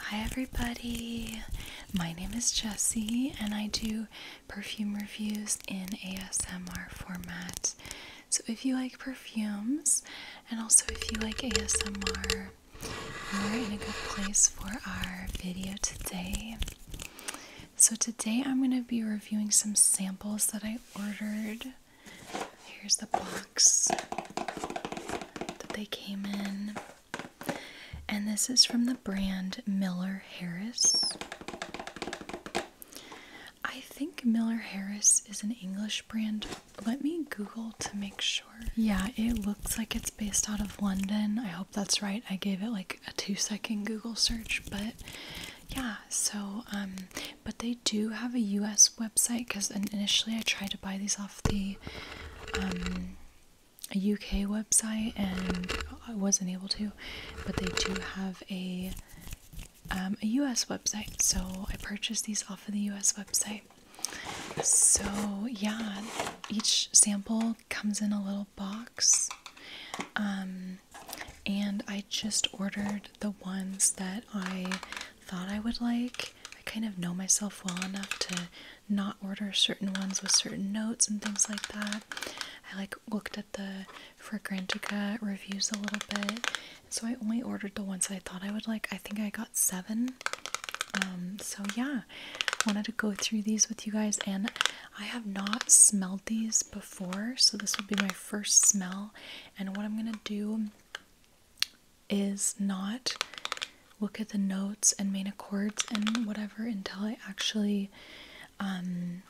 Hi, everybody. My name is Jessie, and I do perfume reviews in ASMR format. So, if you like perfumes and also if you like ASMR, you're in a good place for our video today. So, today I'm going to be reviewing some samples that I ordered. Here's the box that they came in. And this is from the brand Miller Harris. I think Miller Harris is an English brand. Let me Google to make sure. Yeah, it looks like it's based out of London. I hope that's right. I gave it like a two second Google search, but yeah, so, um, but they do have a US website because initially I tried to buy these off the UK um, website, and I wasn't able to, but they do have a um, a US website, so I purchased these off of the US website. So yeah, each sample comes in a little box. Um, and I just ordered the ones that I thought I would like. I kind of know myself well enough to not order certain ones with certain notes and things like that. I like looked at the Fragrantica reviews a little bit, so I only ordered the ones I thought I would like. I think I got seven. Um, so yeah, wanted to go through these with you guys, and I have not smelled these before, so this will be my first smell. And what I'm gonna do is not look at the notes and main accords and whatever until I actually um,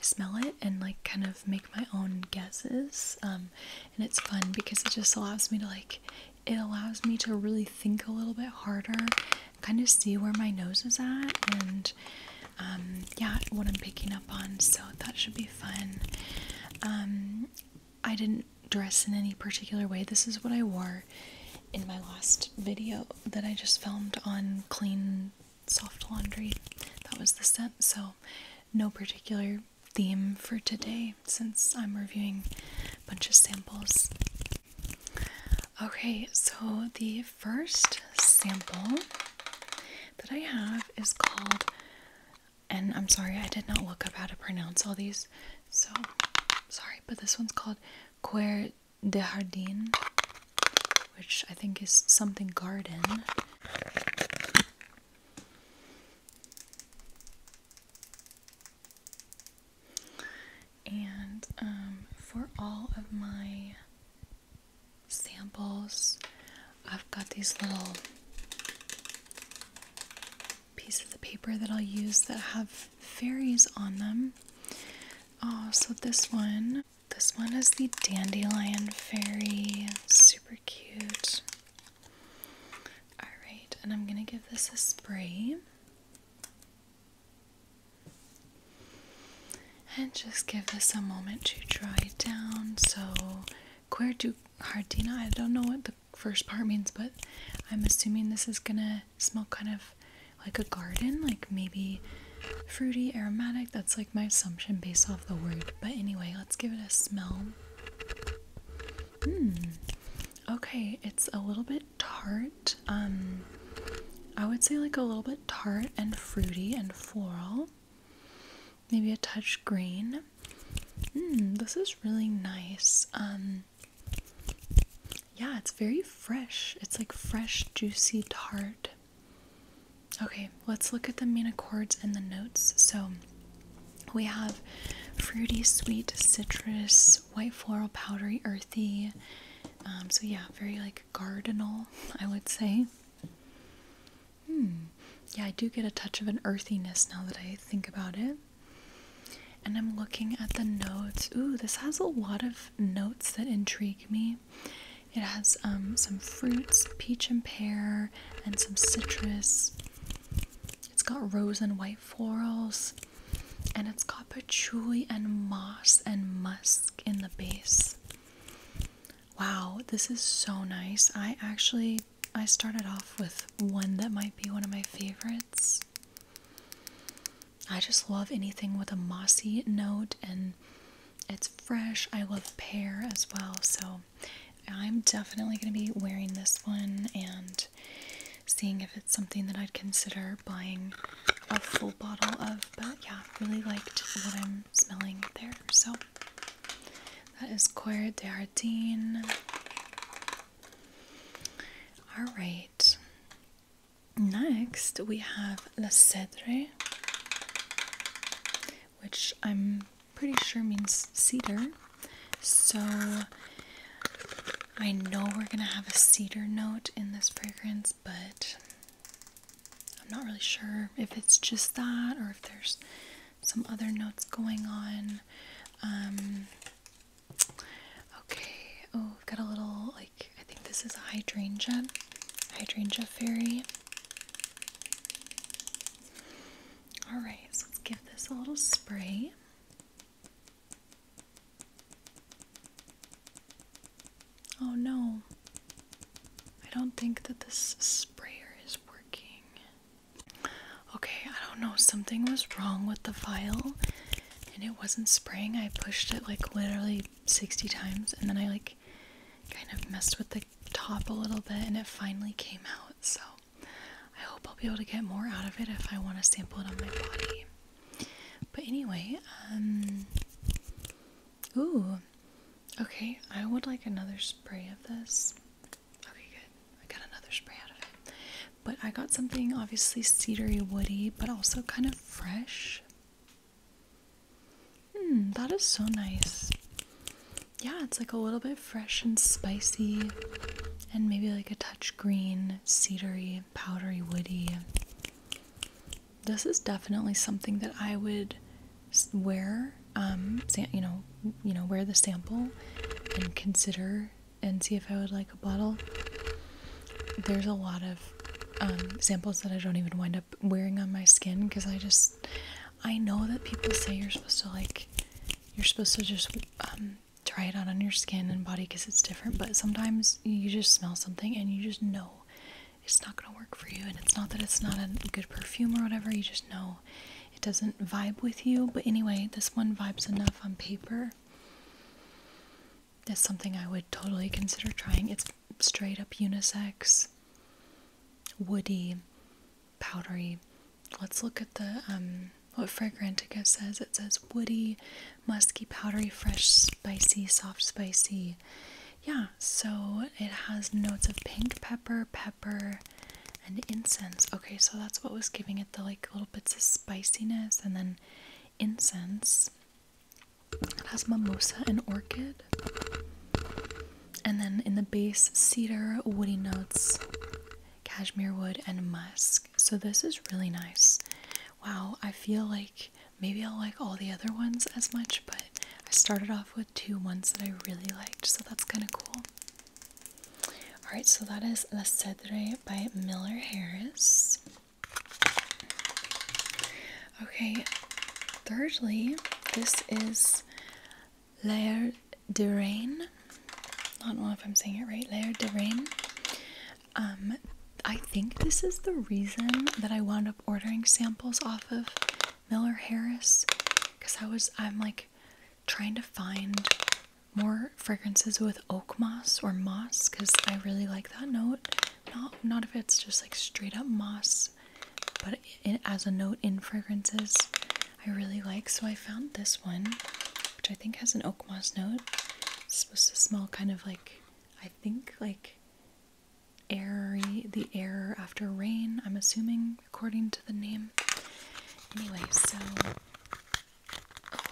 smell it and like kind of make my own guesses. Um, and it's fun because it just allows me to like, it allows me to really think a little bit harder, kind of see where my nose is at and um, yeah, what I'm picking up on. So that should be fun. I didn't dress in any particular way. This is what I wore in my last video that I just filmed on clean soft laundry. That was the scent, so no particular theme for today since I'm reviewing a bunch of samples. Okay, so the first sample that I have is called and I'm sorry I did not look up how to pronounce all these, so sorry, but this one's called Quer de Jardin, which I think is something garden. And um, for all of my samples, I've got these little Piece of the paper that I'll use that have fairies on them. Oh, so this one, this one is the dandelion fairy. Super cute. All right, and I'm gonna give this a spray. And just give this a moment to dry down. So, Quer du Hardina, I don't know what the first part means, but I'm assuming this is gonna smell kind of like a garden, like maybe fruity, aromatic. That's like my assumption based off the word. But anyway, let's give it a smell. Hmm. Okay, it's a little bit tart. Um, I would say like a little bit tart and fruity and floral. Maybe a touch green. Hmm, this is really nice. Um, yeah, it's very fresh. It's like fresh, juicy tart. Okay, let's look at the main accords and the notes. So we have fruity, sweet, citrus, white floral, powdery, earthy. Um, so yeah, very like gardenal, I would say. Hmm. Yeah, I do get a touch of an earthiness now that I think about it. And I'm looking at the notes. Ooh, this has a lot of notes that intrigue me. It has um, some fruits, peach and pear, and some citrus. It's got rose and white florals, and it's got patchouli and moss and musk in the base. Wow, this is so nice. I actually I started off with one that might be one of my favorites. I just love anything with a mossy note and it's fresh. I love pear as well. So I'm definitely going to be wearing this one and seeing if it's something that I'd consider buying a full bottle of. But yeah, really liked what I'm smelling there. So that is Coeur d'Ardine. All right. Next, we have La Cedre, which I'm pretty sure means cedar. So I know we're gonna have a cedar note in this fragrance, but I'm not really sure if it's just that or if there's some other notes going on. Um, Okay, oh, we've got a little, like, I think this is a hydrangea, hydrangea fairy. Alright, so let's give this a little spray. Oh no, I don't think that this sprayer is working. Okay, I don't know. Something was wrong with the file and it wasn't spraying. I pushed it like literally 60 times and then I like kind of messed with the top a little bit and it finally came out. So I hope I'll be able to get more out of it if I want to sample it on my body. But anyway, um, ooh, okay, I would like another spray of this. Okay, good. I got another spray out of it. But I got something obviously cedary woody, but also kind of fresh. Hmm, that is so nice. Yeah, it's like a little bit fresh and spicy, and maybe like a touch green, cedary, powdery, woody. This is definitely something that I would wear, um, you know, you know, wear the sample and consider and see if I would like a bottle. There's a lot of um, samples that I don't even wind up wearing on my skin because I just, I know that people say you're supposed to like, you're supposed to just um, try it out on your skin and body because it's different, but sometimes you just smell something and you just know it's not going to work for you. And it's not that it's not a good perfume or whatever, you just know it doesn't vibe with you. But anyway, this one vibes enough on paper here. That's something I would totally consider trying. It's straight up unisex, woody, powdery. Let's look at the um, what Fragrantica says. It says woody, musky, powdery, fresh, spicy, soft, spicy. Yeah, so it has notes of pink pepper, pepper, and incense. Okay, so that's what was giving it the like little bits of spiciness and then incense. It has mimosa and orchid. And then in the base, cedar, woody notes, cashmere wood, and musk. So this is really nice. Wow, I feel like maybe I'll like all the other ones as much, but I started off with two ones that I really liked, so that's kind of cool. All right, so that is La Cedre by Miller Harris. Okay, thirdly, this is L'air de I don't know if I'm saying it right. L'air de Um, I think this is the reason that I wound up ordering samples off of Miller Harris because I was, I'm like trying to find more fragrances with oak moss or moss because I really like that note. Not not if it's just like straight up moss, but it, as a note in fragrances, I really like. So I found this one, which I think has an oak moss note. supposed to smell kind of like I think like airy, the air after rain. I'm assuming according to the name. Anyway, so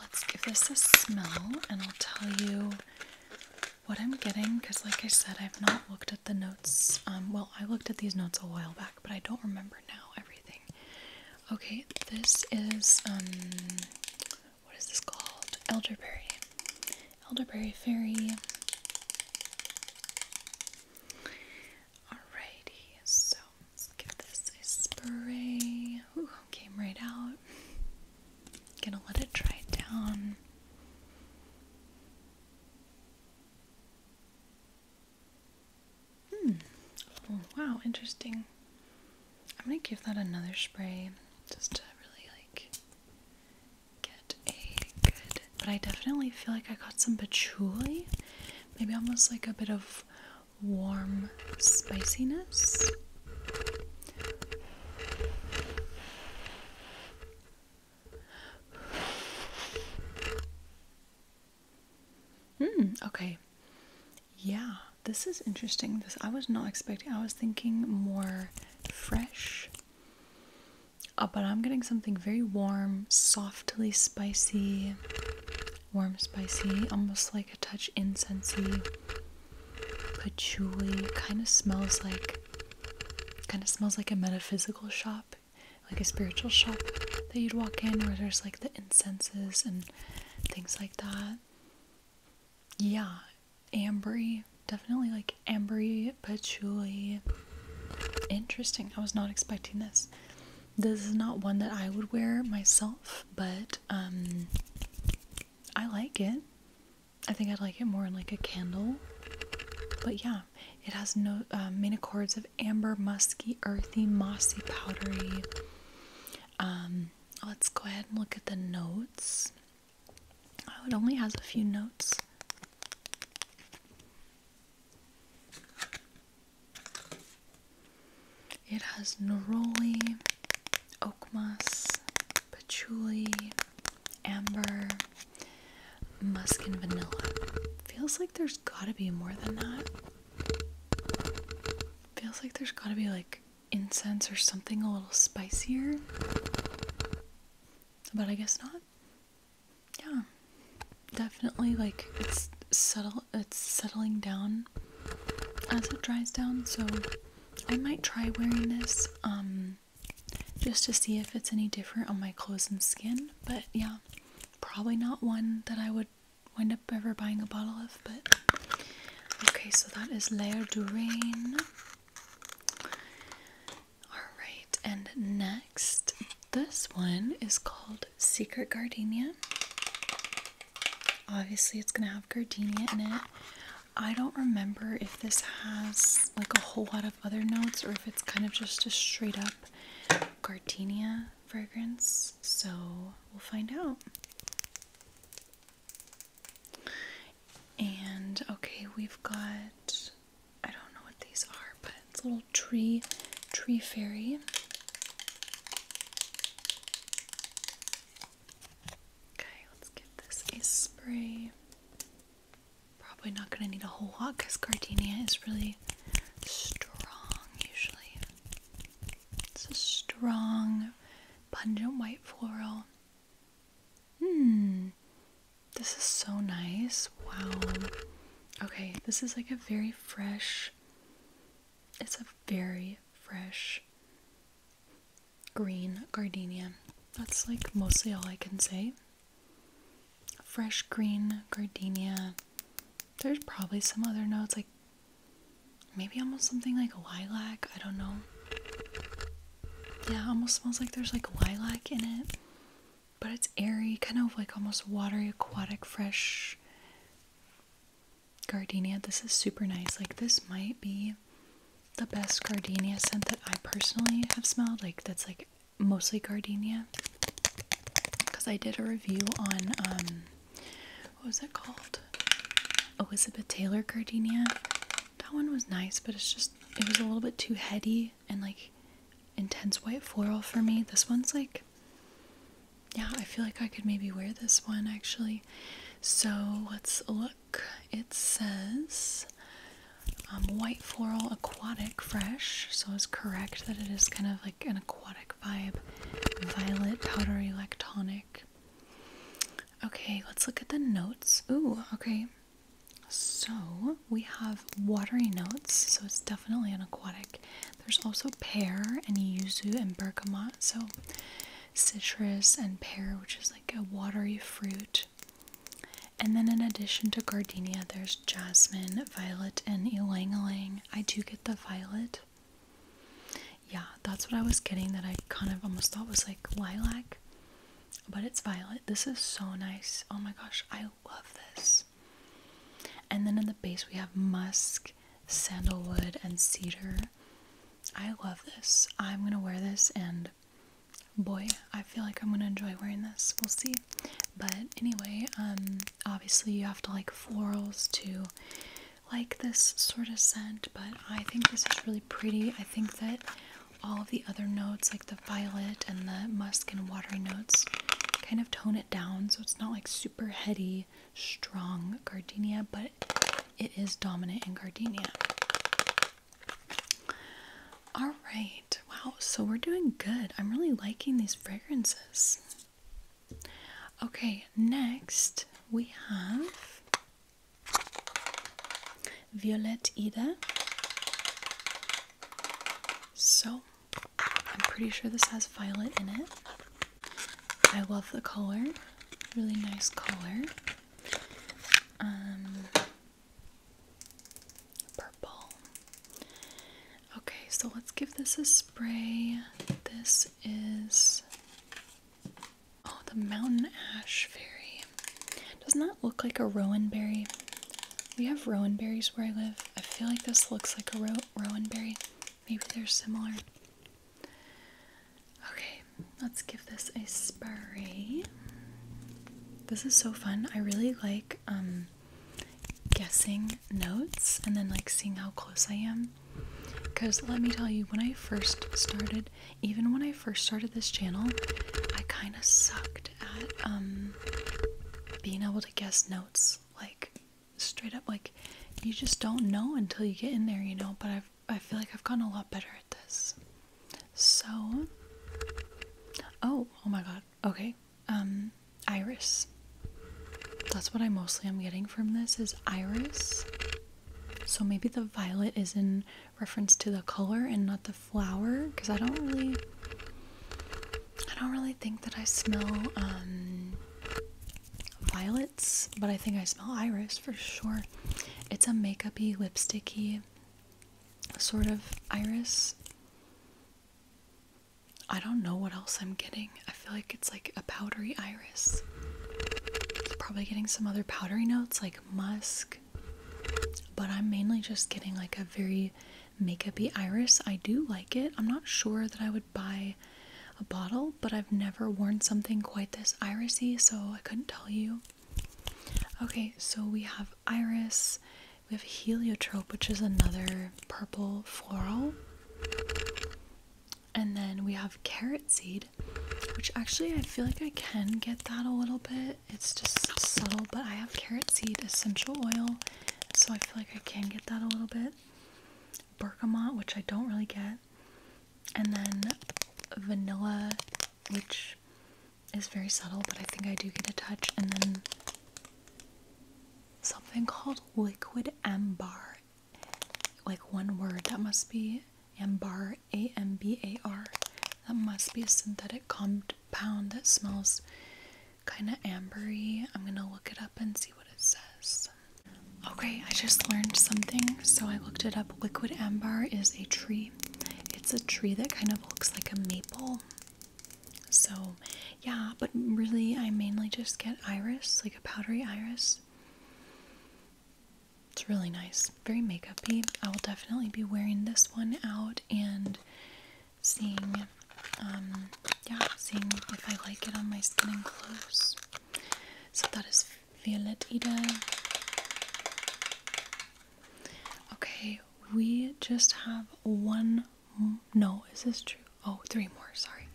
let's give this a smell and I'll tell you what I'm getting because, like I said, I've not looked at the notes. Um, well, I looked at these notes a while back, but I don't remember now everything. Okay, this is, um, what is this called? Elderberry. Elderberry Fairy. Alrighty, so let's give this a spray. Ooh, came right out. Gonna let it dry down. Hmm. Oh, wow, interesting. I'm gonna give that another spray just to really like get a good. But I definitely feel like I got some patchouli, maybe almost like a bit of warm spiciness. Hmm, okay. Yeah, this is interesting. This I was not expecting. I was thinking more fresh. Uh, but I'm getting something very warm, softly spicy warm, spicy, almost like a touch incensey, patchouli. Kind of smells like, kind of smells like a metaphysical shop, like a spiritual shop that you'd walk in where there's like the incenses and things like that. Yeah, ambery, definitely like ambery patchouli. Interesting. I was not expecting this. This is not one that I would wear myself, but um I like it. I think I'd like it more in like a candle. But yeah, it has no uh, um, main accords of amber, musky, earthy, mossy, powdery. Um, let's go ahead and look at the notes. Oh, it only has a few notes. It has neroli, oak moss, patchouli, amber, musk, and vanilla. Feels like there's gotta be more than that. Feels like there's gotta be like incense or something a little spicier. But I guess not. Yeah. Definitely like it's subtle it's settling down Mm-hmm. as it dries down, so I might try wearing this um, just to see if it's any different on my clothes and skin, but yeah, probably not one that I would wind up ever buying a bottle of, but okay, so that is L'air du Alright, and next, this one is called Secret Gardenia. Obviously, it's gonna have gardenia in it. I don't remember if this has like a whole lot of other notes or if it's kind of just a straight up gardenia fragrance. So we'll find out. And okay, we've got I don't know what these are, but it's a little tree tree fairy. Okay, let's give this a spray. Probably not going to need a whole lot because gardenia is really strong usually. It's a strong, pungent white floral. Hmm, this is so nice. Wow. Okay, this is like a very fresh, it's a very fresh green gardenia. That's like mostly all I can say. Fresh green gardenia. There's probably some other notes, like maybe almost something like lilac. I don't know. Yeah, almost smells like there's like lilac in it. But it's airy, kind of like almost watery, aquatic, fresh gardenia. This is super nice. Like this might be the best gardenia scent that I personally have smelled. Like that's like mostly gardenia. Cuz I did a review on um, what was it called? Elizabeth Taylor gardenia. That one was nice, but it's just it was a little bit too heady and like intense white floral for me. This one's like yeah, I feel like I could maybe wear this one actually so let's look it says um, white floral aquatic fresh so it's correct that it is kind of like an aquatic vibe violet powdery electronic. okay let's look at the notes ooh okay so we have watery notes so it's definitely an aquatic there's also pear and yuzu and bergamot so citrus and pear, which is like a watery fruit. And then, in addition to gardenia, there's jasmine, violet, and ylang ylang. I do get the violet. Yeah, that's what I was getting that I kind of almost thought was like lilac, but it's violet. This is so nice. Oh my gosh, I love this. And then in the base, we have musk sandalwood and cedar. I love this. I'm gonna wear this, and boy, I feel like I'm gonna enjoy wearing this. We'll see. But anyway, um, obviously you have to like florals to like this sort of scent, but I think this is really pretty. I think that all of the other notes, like the violet and the musk and watery notes, kind of tone it down, so it's not like super heady strong gardenia, but it is dominant in gardenia. All right, wow, so we're doing good. I'm really liking these fragrances. Okay, next we have Violet Ida. So, I'm pretty sure this has violet in it. I love the color, really nice color. Um, purple. Okay, so let's give this a spray. This is oh, the mountain ash fairy. Doesn't that look like a rowan berry? We have rowan berries where I live. I feel like this looks like a rowan berry. Maybe they're similar. Okay, let's give this a spray. This is so fun. I really like um, guessing notes and then like seeing how close I am. Cuz let me tell you when I first started, even when I first started this channel, I kind of sucked at um, being able to guess notes like straight up like you just don't know until you get in there, you know, but I've i feel like I've gotten a lot better at this. So, oh, oh my god. Okay, um, iris. That's what I mostly am getting from this is iris. So maybe the violet is in reference to the color and not the flower, because I don't really, I don't really think that I smell um, violets, but I think I smell iris for sure. It's a makeupy, lipsticky sort of iris. I don't know what else I'm getting. I feel like it's like a powdery iris. Probably getting some other powdery notes like musk, but I'm mainly just getting like a very makeupy iris. I do like it. I'm not sure that I would buy a bottle but I've never worn something quite this irisy, so I couldn't tell you. Okay, so we have iris, we have heliotrope, which is another purple floral, and then we have carrot seed, which actually I feel like I can get that a little bit. It's just subtle, but I have carrot seed essential oil, so I feel like I can get that a little bit. Bergamot, which I don't really get. And then vanilla, which is very subtle, but I think I do get a touch. And then something called liquid ambar. Like one word. That must be ambar, A M B A R. That must be a synthetic compound that smells kind of ambery. I'm gonna look it up and see what it says. Okay, I just learned something, so I looked it up. Liquid Amber is a tree. It's a tree that kind of looks like a maple. So, yeah, but really, I mainly just get iris, like a powdery iris. It's really nice, very makeupy. I will definitely be wearing this one out and seeing, um, yeah, seeing if I like it on my skin and clothes. So that is Violet Ida. Okay, we just have one. No, is this true? Oh, three more. Sorry,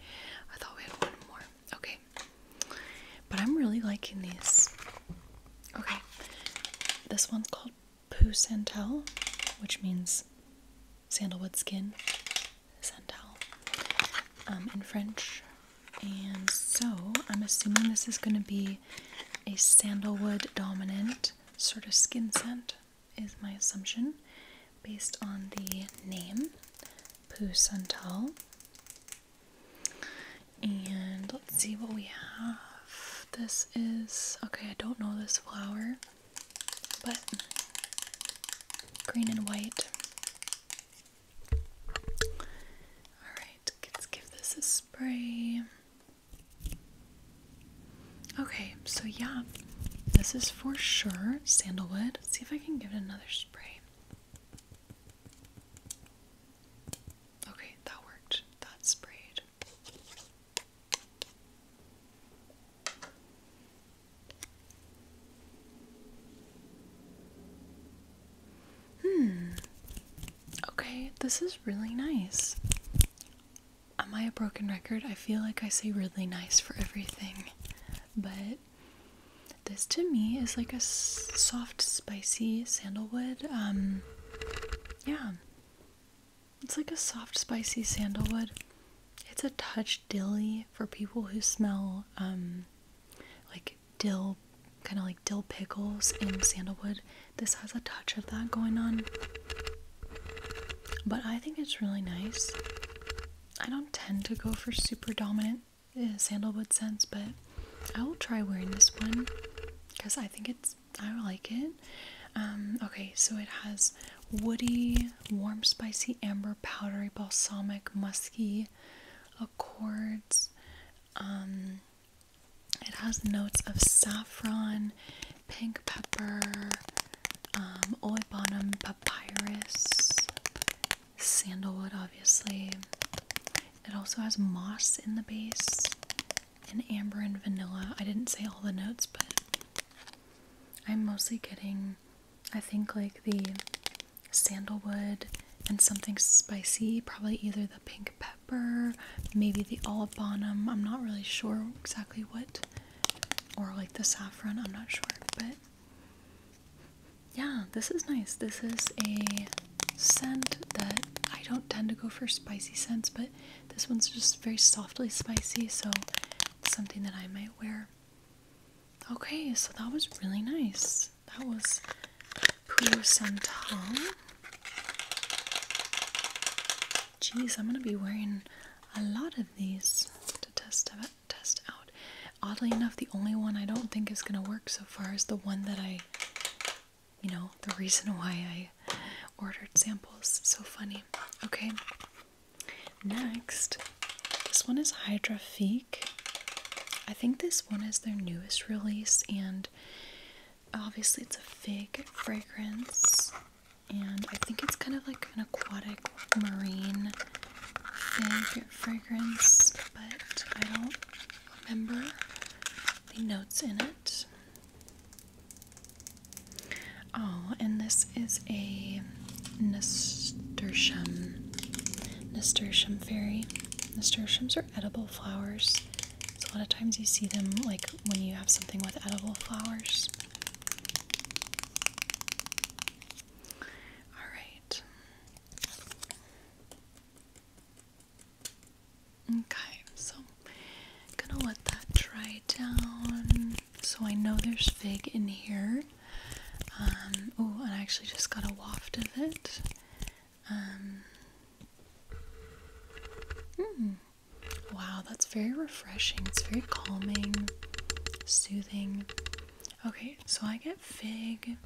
I thought we had one more. Okay, but I'm really liking these. Okay, this one's called Pou Santal, which means sandalwood skin. Santal, um, in French. And so I'm assuming this is going to be a sandalwood dominant sort of skin scent, is my assumption, based on the name Poo Santal. And let's see what we have. This is okay, I don't know this flower, but green and white. Alright, let's give this a spray. Okay, so yeah, this is for sure sandalwood. see if I can give it another spray. Okay, that worked. That sprayed. Hmm. Okay, this is really nice. Am I a broken record? I feel like I say really nice for everything, but this to me is like a soft, spicy sandalwood. Um, yeah, it's like a soft, spicy sandalwood. It's a touch dilly for people who smell um, like dill, kind of like dill pickles and sandalwood. This has a touch of that going on. But I think it's really nice. I don't tend to go for super dominant eh, sandalwood scents, but I will try wearing this one because I think it's, I like it. Um, okay, so it has woody, warm, spicy, amber, powdery, balsamic, musky accords, um, it has notes of saffron, pink pepper, um, papyrus, sandalwood, obviously. It also has moss in the base, and amber and vanilla. I didn't say all the notes, but I'm mostly getting, I think, like the sandalwood and something spicy, probably either the pink pepper, maybe the olive bonum. I'm not really sure exactly what, or like the saffron. I'm not sure, but yeah, this is nice. This is a scent that I don't tend to go for spicy scents, but this one's just very softly spicy, so it's something that I might wear. Okay, so that was really nice. That was Pure Santal. Geez, I'm gonna be wearing a lot of these to test out, test out. Oddly enough, the only one I don't think is gonna work so far is the one that I, you know, the reason why I ordered samples. So funny. Okay. Next, this one is Hydra I think this one is their newest release, and obviously it's a fig fragrance and I think it's kind of like an aquatic marine fragrance but I don't remember the notes in it. Oh, and this is a nasturtium. Nasturtium fairy. Nasturtiums are edible flowers. So a lot of times you see them like when you have something with edible flowers. All right. Okay, so i gonna let that dry down. So I know there's fig in here. oh, and I actually just got a waft of it. Um, hmm. wow, that's very refreshing. It's very calming, soothing. Okay, so I get fig.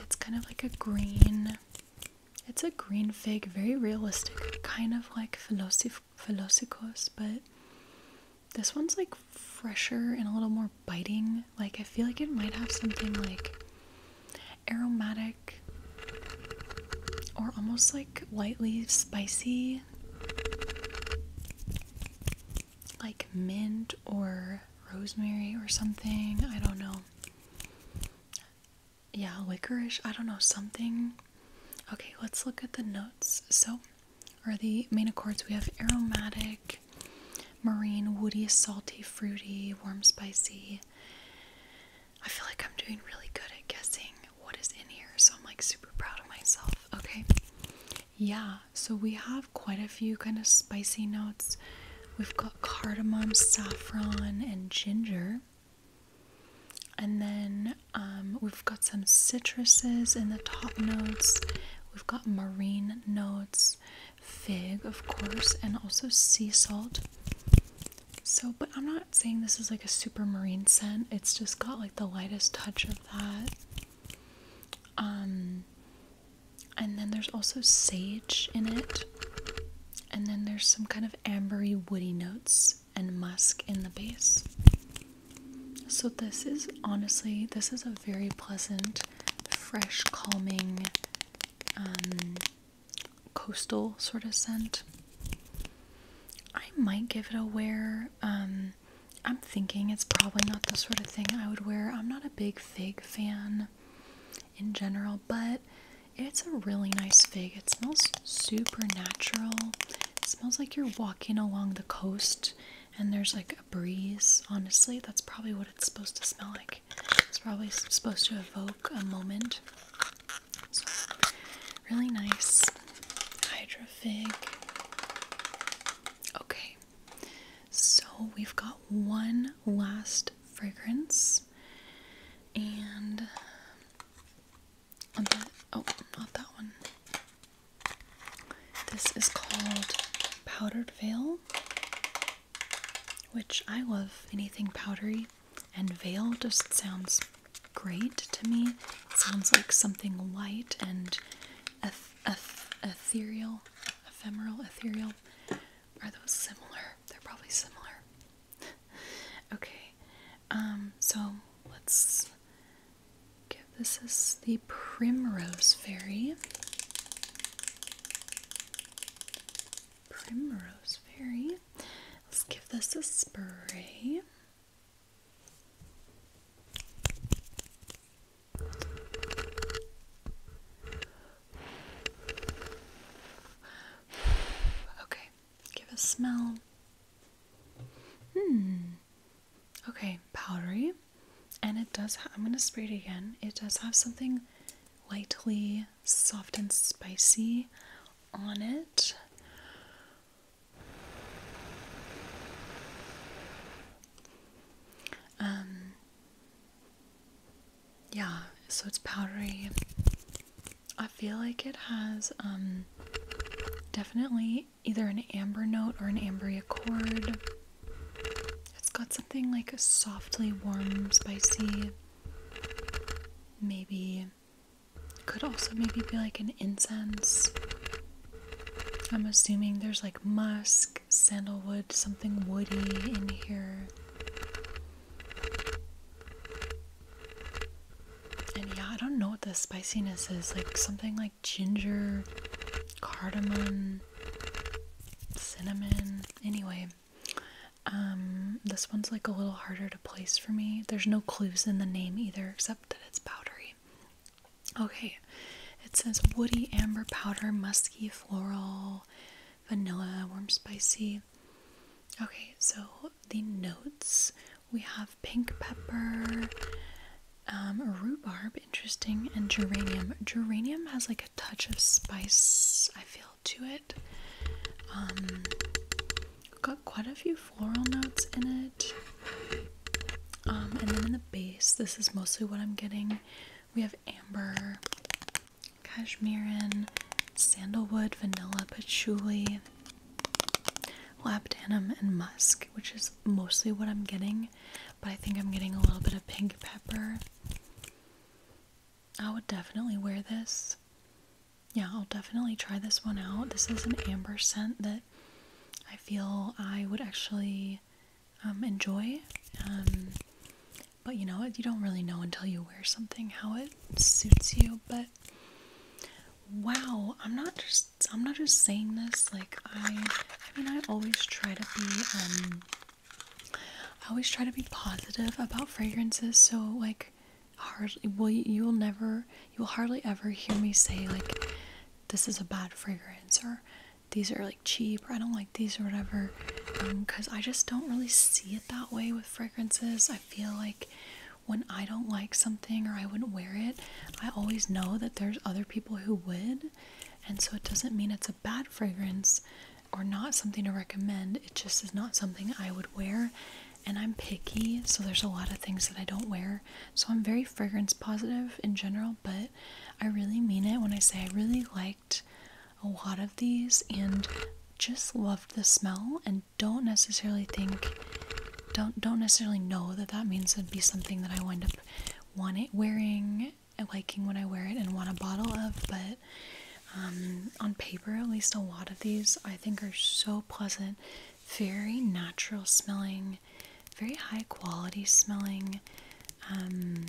It's kind of like a green. It's a green fig, very realistic, kind of like Velocif Velocicos, but this one's like fresher and a little more biting. Like I feel like it might have something like aromatic or almost like lightly spicy, like mint or rosemary or something. I don't know. Yeah, licorice. I don't know, something. Okay, let's look at the notes. So, are the main accords we have aromatic, marine, woody, salty, fruity, warm, spicy. I feel like I'm doing really good at guessing what is in here, so I'm like super proud of myself. Okay, yeah, so we have quite a few kind of spicy notes. We've got cardamom, saffron, and ginger. And then um, we've got some citruses in the top notes. We've got marine notes fig, of course, and also sea salt. So, but I'm not saying this is like a super marine scent. It's just got like the lightest touch of that. Um, and then there's also sage in it. And then there's some kind of ambery woody notes and musk in the base. So this is honestly, this is a very pleasant, fresh, calming um, coastal sort of scent. I might give it a wear. Um, I'm thinking it's probably not the sort of thing I would wear. I'm not a big fig fan in general, but it's a really nice fig. It smells super natural. smells like you're walking along the coast and there's like a breeze. Honestly, that's probably what it's supposed to smell like it's probably supposed to evoke a moment. So, really nice hydrofig. Okay, so we've got one last fragrance, and um, oh, not that one. This is called Powdered Veil which I love anything powdery, and veil just sounds great to me. sounds like something light and ethereal, ephemeral, ethereal. Are those similar? They're probably similar. okay, um, so let's give this is the Primrose Fairy. Primrose Fairy. Let's give this a spray. Okay, give a smell. Hmm. Okay, powdery. And it does, ha I'm going to spray it again. It does have something lightly soft and spicy on it. Um, yeah, so it's powdery. I feel like it has um, definitely either an amber note or an ambery accord. It's got something like a softly warm, spicy Maybe could also maybe be like an incense. I'm assuming there's like musk, sandalwood, something woody in here. And yeah, I don't know what the spiciness is. Like something like ginger, cardamom, cinnamon. Anyway. Um, this one's like a little harder to place for me. There's no clues in the name either, except that it's powdery. Okay, it says woody amber powder, musky floral, vanilla, warm spicy. Okay, so the notes we have pink pepper, um, rhubarb, interesting, and geranium. Geranium has like a touch of spice, I feel, to it. Um, got quite a few floral notes in it. Um, and then in the base, this is mostly what I'm getting. We have amber, cashmerean, sandalwood, vanilla, patchouli, labdanum, and musk, which is mostly what I'm getting. But I think I'm getting a little bit of pink pepper. I would definitely wear this. Yeah, I'll definitely try this one out. This is an amber scent that I feel I would actually um, enjoy. Um, but you know, you don't really know until you wear something how it suits you. But wow, I'm not just I'm not just saying this. Like I, I mean, I always try to be um, I always try to be positive about fragrances, so like hardly will you will never you will hardly ever hear me say like this is a bad fragrance or these are like cheap or I don't like these or whatever because um, I just don't really see it that way with fragrances. I feel like when I don't like something or I wouldn't wear it, I always know that there's other people who would, and so it doesn't mean it's a bad fragrance or not something to recommend. It just is not something I would wear. And I'm picky, so there's a lot of things that I don't wear. So I'm very fragrance positive in general, but I really mean it when I say I really liked a lot of these and just loved the smell and don't necessarily think don't don't necessarily know that that means it'd be something that I wind up wanting it wearing liking when I wear it and want a bottle of but um, on paper, at least a lot of these I think are so pleasant, very natural smelling, very high quality smelling. Um,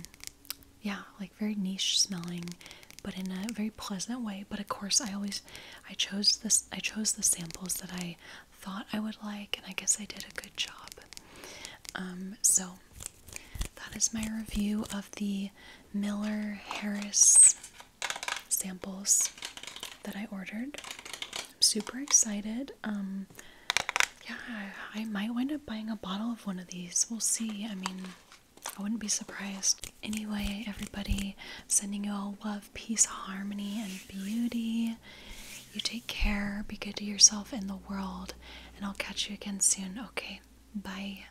yeah, like very niche smelling, but in a very pleasant way. But of course, I always I chose this I chose the samples that I thought I would like, and I guess I did a good job. Um, so that is my review of the Miller Harris samples that I ordered. I'm super excited. Um, yeah, I might wind up buying a bottle of one of these. We'll see. I mean, I wouldn't be surprised. Anyway, everybody, sending you all love, peace, harmony, and beauty. You take care, be good to yourself and the world, and I'll catch you again soon. Okay, bye.